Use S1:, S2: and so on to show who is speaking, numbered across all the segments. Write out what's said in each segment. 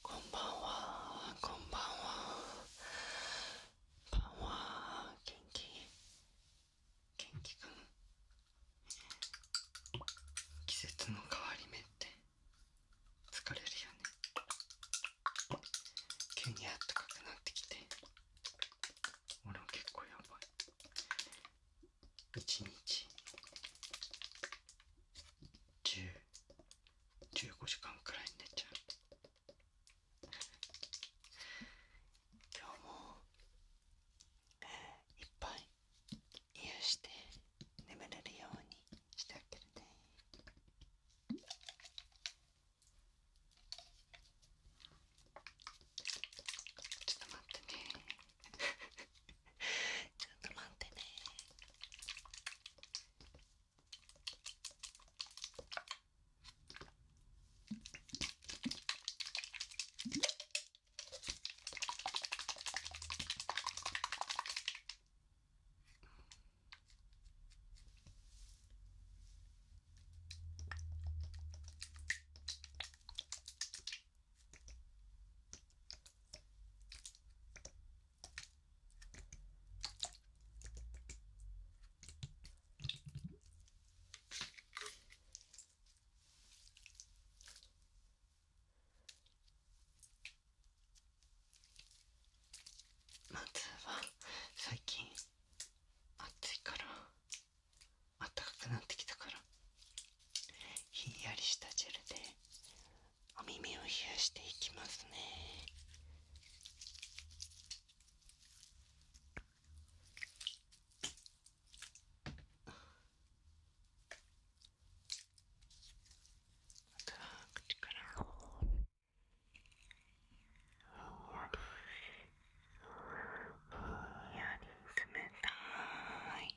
S1: こんばんはこんばんはばんは元気元気くん季節の変わり目って疲れるよね急にあったかくなってきて俺も結構やばい一日1015時間くらい寝ちゃう今日も、えー、いっぱい癒して眠れるようにしてあげるねちょっと待ってねちょっと待ってねまずは最近暑いから暖かくなってきたからひんやりしたジェルでお耳を冷やしていきますね冷たい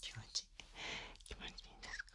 S1: 気持ち気持ちいいんですか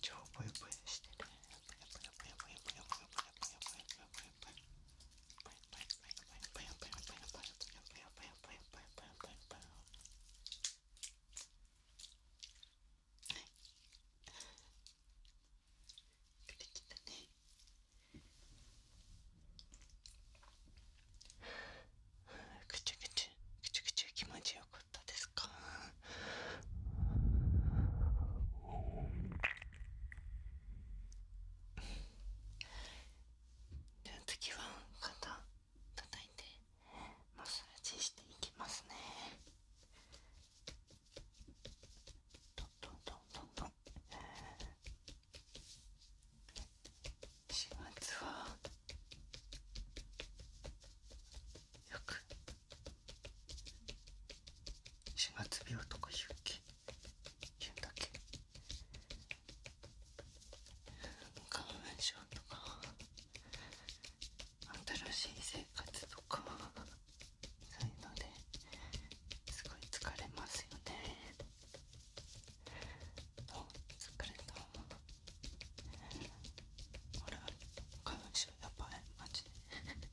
S1: 超ぽよぽよしてる。はい出てきたねぐちゅぐちゅぐちゅぐちゅ気持ちよかったですかでは次は肩叩いてマッサージしていきますねどんどんどんどんどん4月はよく4月病とか言うけ言うんだけ花粉症とか新しい生活とかそういうのですごい疲れますよね疲れたほら、花粉症やばいマジで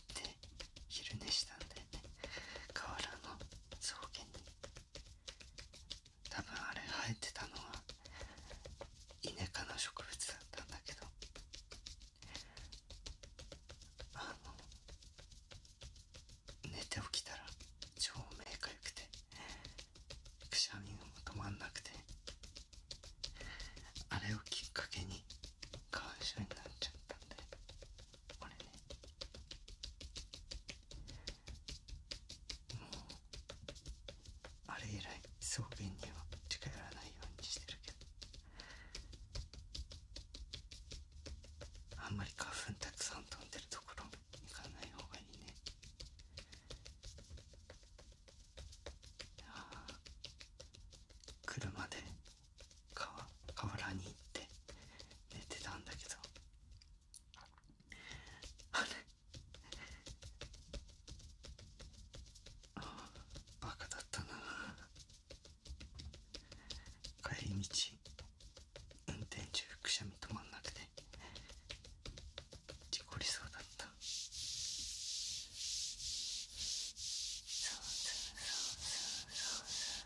S1: っ昼寝したんで。ね河原の草原に多分あれ生えてたのはイネ科の植物だったんだけどあの寝て起きたら超目かくてくしゃみも止まんなくてあれをきっかけに感謝になっちゃったんでこれねもうあれ以来そうには近寄らないようにしてるけどあんまり花粉たくさん飛んでるところ行かない方がいいねああ車で河原に行って寝てたんだけどあれああバカだったな帰り道運転中くしゃみ止まんなくて事故りそうだったそうそうそうそうそう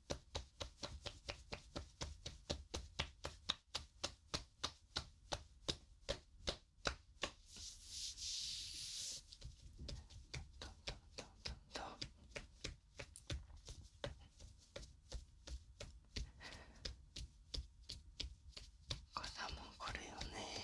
S1: 傘もこれよね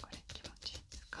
S1: これ気持ちいいですか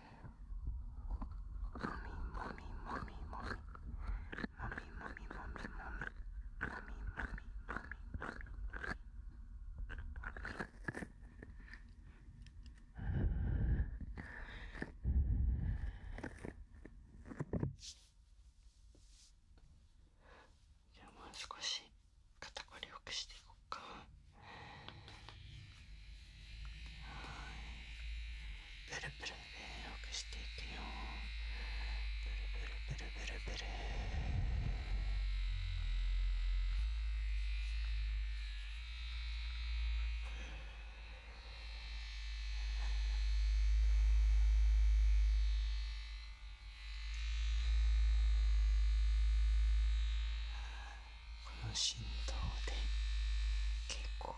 S1: じゃあもう少し肩こりをよくしていこうか。ブいこの振動で結構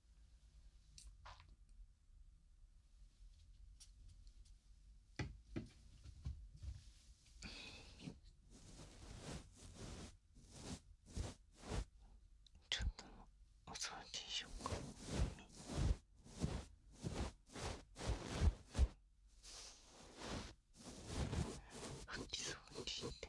S1: ちょっとお掃除しようか。掃き掃除って。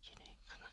S1: 綺麗かな。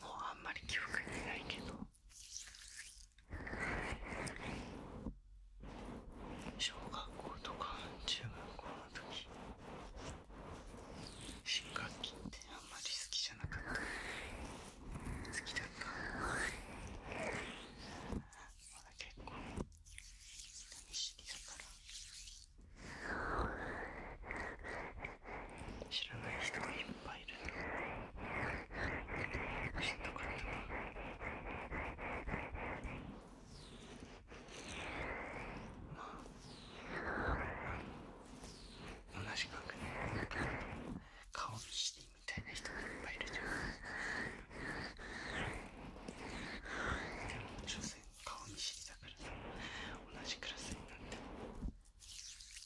S1: もうあんまり記憶にないけど小学校とか中学校の時新学期ってあんまり好きじゃなかった好きだったまだ結構人しにりだから知らない人がいっぱいいる知ったかったなまあ、うん、同じ額で顔見知りみたいな人がいっぱいいるじゃんでも女性顔見知りだから同じクラスになっても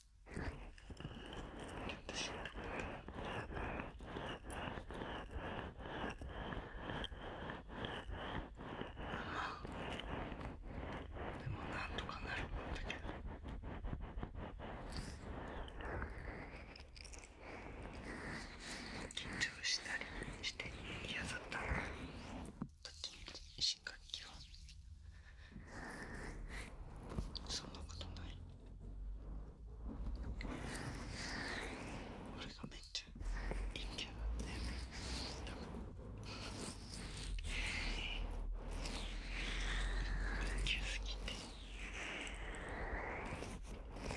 S1: でもなんとかなるんだけど。緊張したりして嫌だった。った新学期はそんなことない俺がめっちゃ陰キすぎて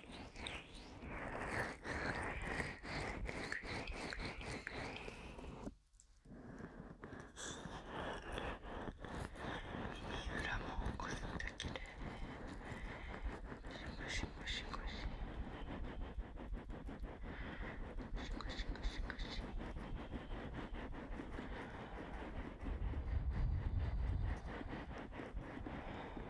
S1: 裏もこれだけでゴシゴシゴシゴシゴシゴシゴシ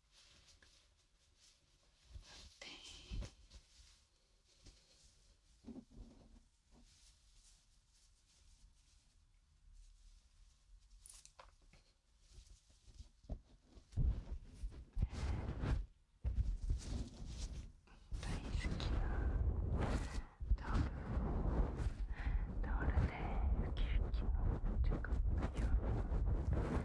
S1: 大好きなタオルタオルでウキウキのちょっとよう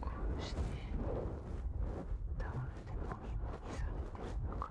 S1: こうしてタオルでもみもみされてるのか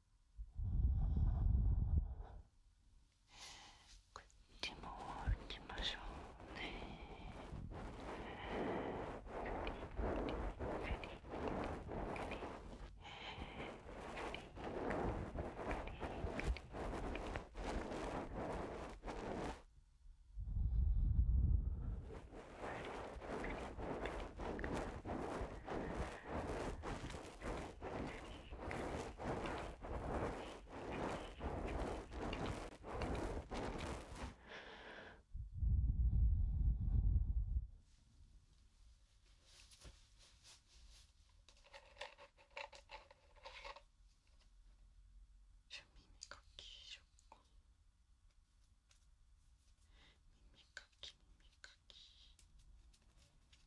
S1: こっちも打ちましょうねじゃあ耳かきしようかきかき耳かき耳かき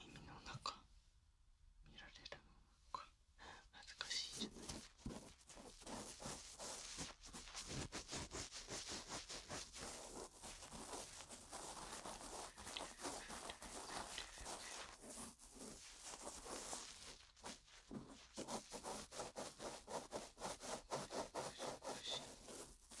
S1: 耳の中見られるのが恥ずかしいじゃないお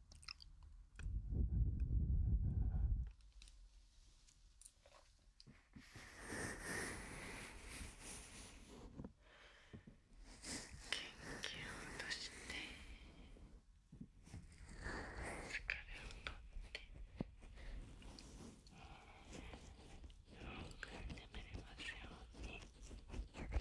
S1: を落して疲れを取ってよく眠れますように。